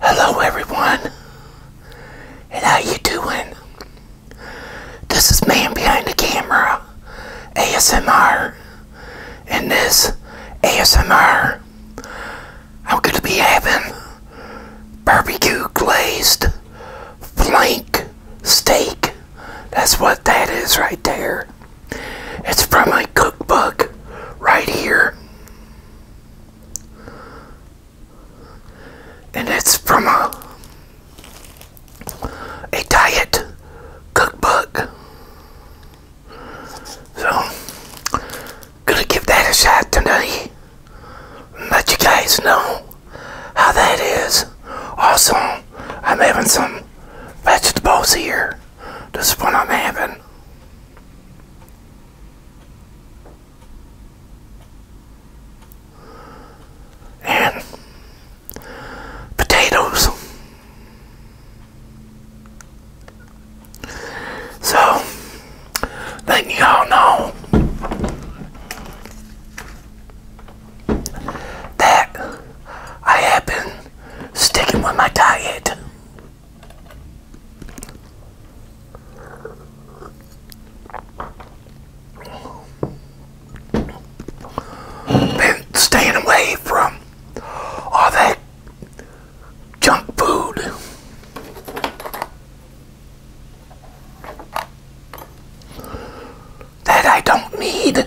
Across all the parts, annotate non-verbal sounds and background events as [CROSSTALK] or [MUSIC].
Hello everyone, and how you doing? This is Man Behind the Camera, ASMR, and this ASMR, I'm going to be having barbecue glazed flank steak. That's what that is right there. It's from my cookbook right here. And it's from a a diet cookbook. So gonna give that a shot tonight. Let you guys know how that is. Also, I'm having some vegetables here. This is what I'm having. And potatoes. So, letting you all know that I have been sticking with my diet. Been staying away from all that junk food. That I don't need.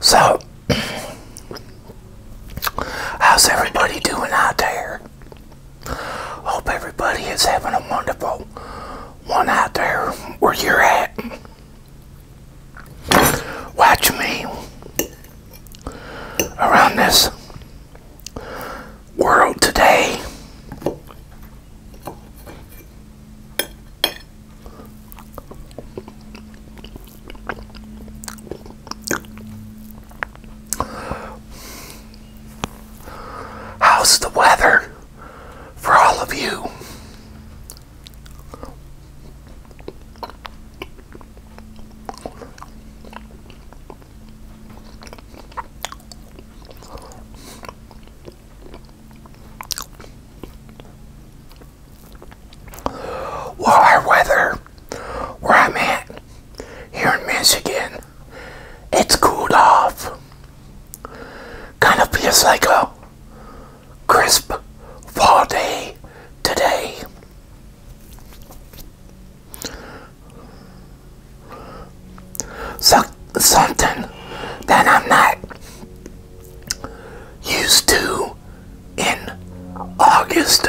So, how's everybody doing out there? Hope everybody is having a wonderful one out there where you're at. Watch me around this world today. How's the weather for all of you? Well, weather where I'm at here in Michigan, it's cooled off. Kind of feels like a crisp fall day today. So, something that I'm not used to in August.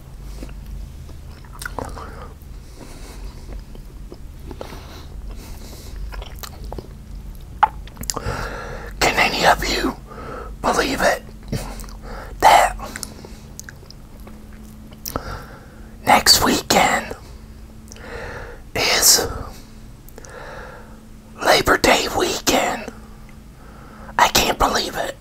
Can any of you believe it? That next weekend is Labor Day weekend. I can't believe it.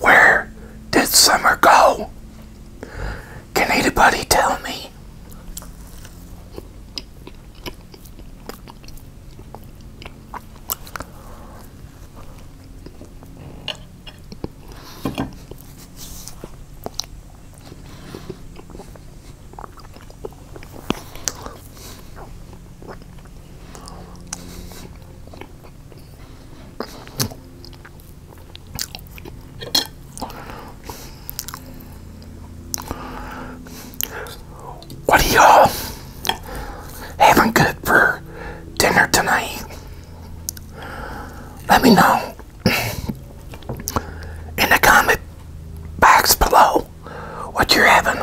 Where did summer go? Can anybody tell me? What are you having good for dinner tonight? Let me know in the comment box below what you're having.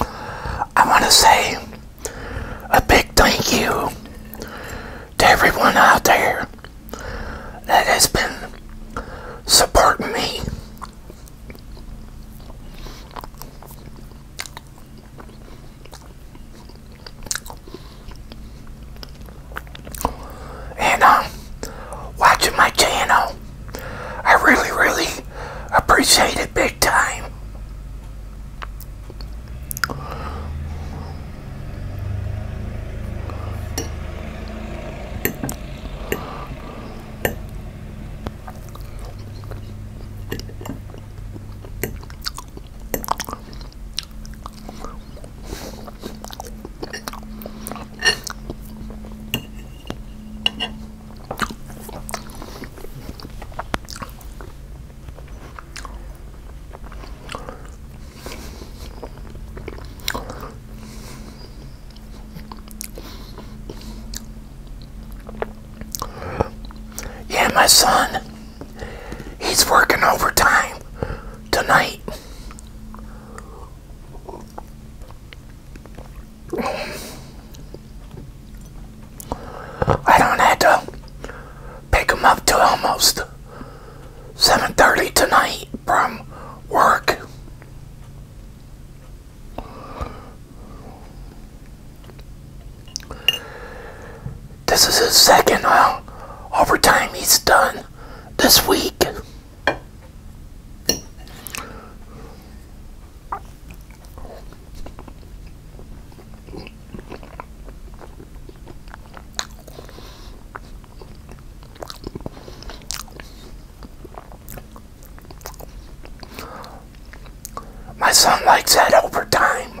I want to say a big thank you to everyone out there that has been supporting me. And um, watching my channel. I really, really appreciate it big time. Yeah, my son, he's working overtime tonight. I don't have to pick him up till almost 7.30 tonight from work. This is his second uh, overtime he's done this week. My son likes that time.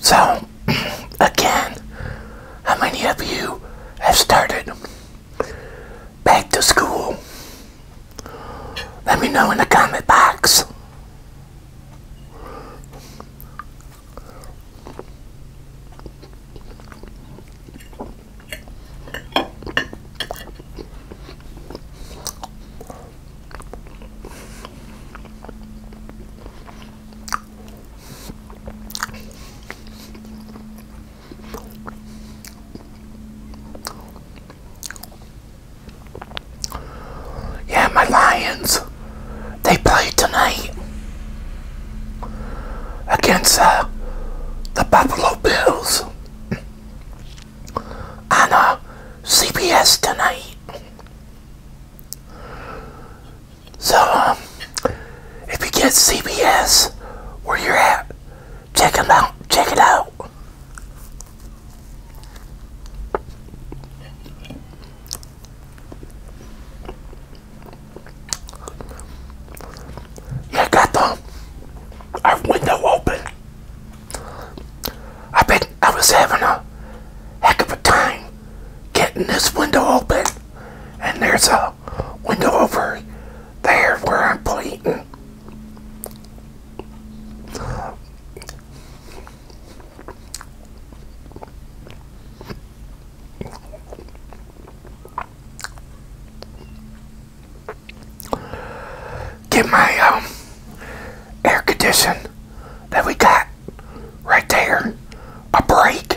So, [CLEARS THROAT] again, how many of you have started back to school? Let me know in the comment box. Yeah, my Lions. They play tonight against uh, the Buffalo Bills on a uh, CBS tonight. So, um, if you get CBS where you're at, check it out. Check it out. Yeah, got the our window open. I bet I was having a heck of a time getting this window open. And there's a window over there where I'm bleeding. Get my um, air condition that we got right there a break.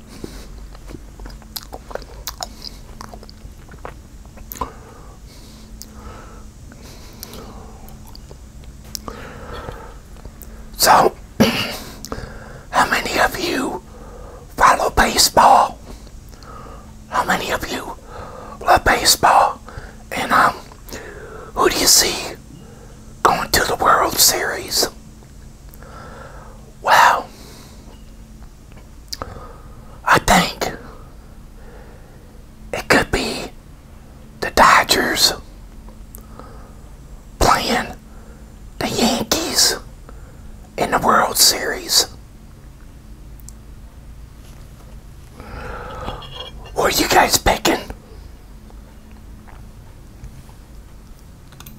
So, [CLEARS THROAT] how many of you follow baseball? How many of you love baseball? And um, who do you see going to the World Series? Wow, I think it could be the Dodgers playing the Yankees in the World Series. What are you guys picking?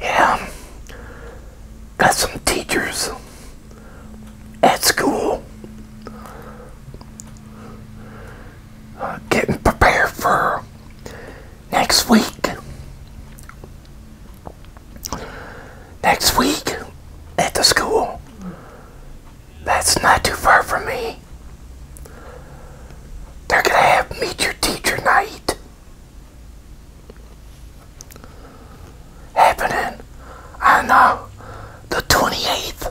Yeah, got some teachers at school uh, getting prepared for next week. Next week at the school, that's not too far from me. They're going to have Meet Your Teacher Night happening on uh, the 28th.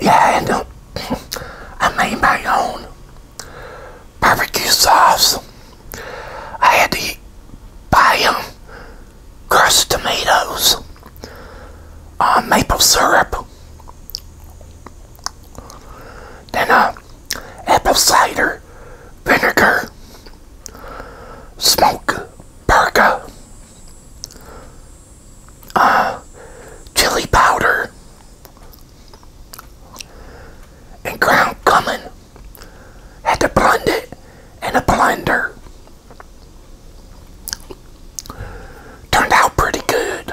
Yeah, I know. I made my own barbecue sauce. I had to buy them crushed tomatoes, uh, maple syrup, then uh, apple cider vinegar, smoke burger, [SIGHS] chili powder and ground cumin. Had to blend it in a blender. Turned out pretty good.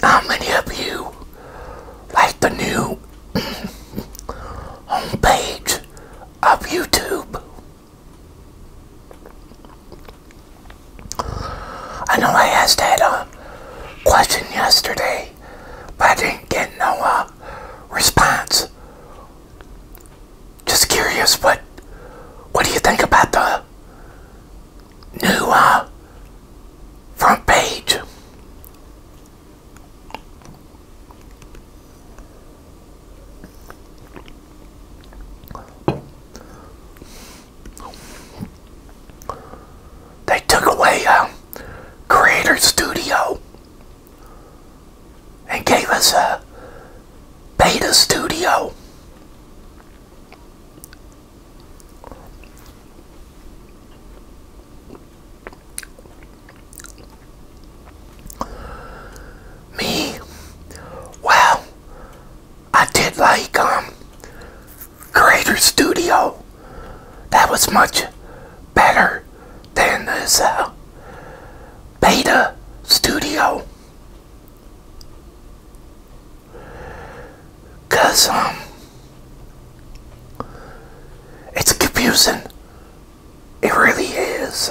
How many of you like the new [CLEARS THROAT] homepage of YouTube? I know I asked that question yesterday, but I didn't get no uh, response. Just curious, what what do you think about the new uh, front page? They took away um, Creator Studio and gave us a Beta Studio. Me, wow, I did like um Creator Studio. That was much better than this uh, Beta Studio. Cause um it's confusing. It really is.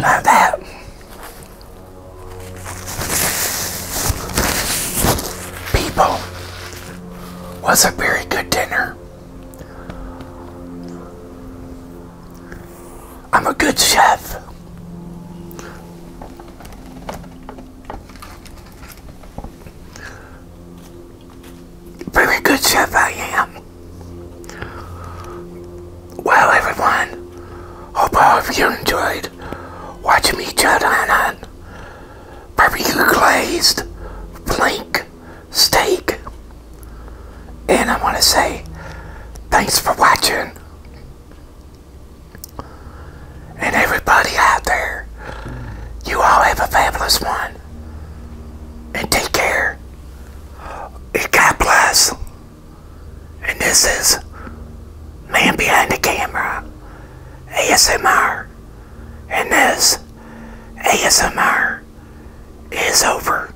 Not that. People was a very good dinner. I'm a good chef. Very good chef I am. Well, everyone, hope all of you enjoyed watching me chat on, a barbecue glazed flank steak. And I want to say thanks for watching. And everybody out there, you all have a fabulous one. And take care. And God bless. And this is Man Behind the Camera, ASMR. And this ASMR is over.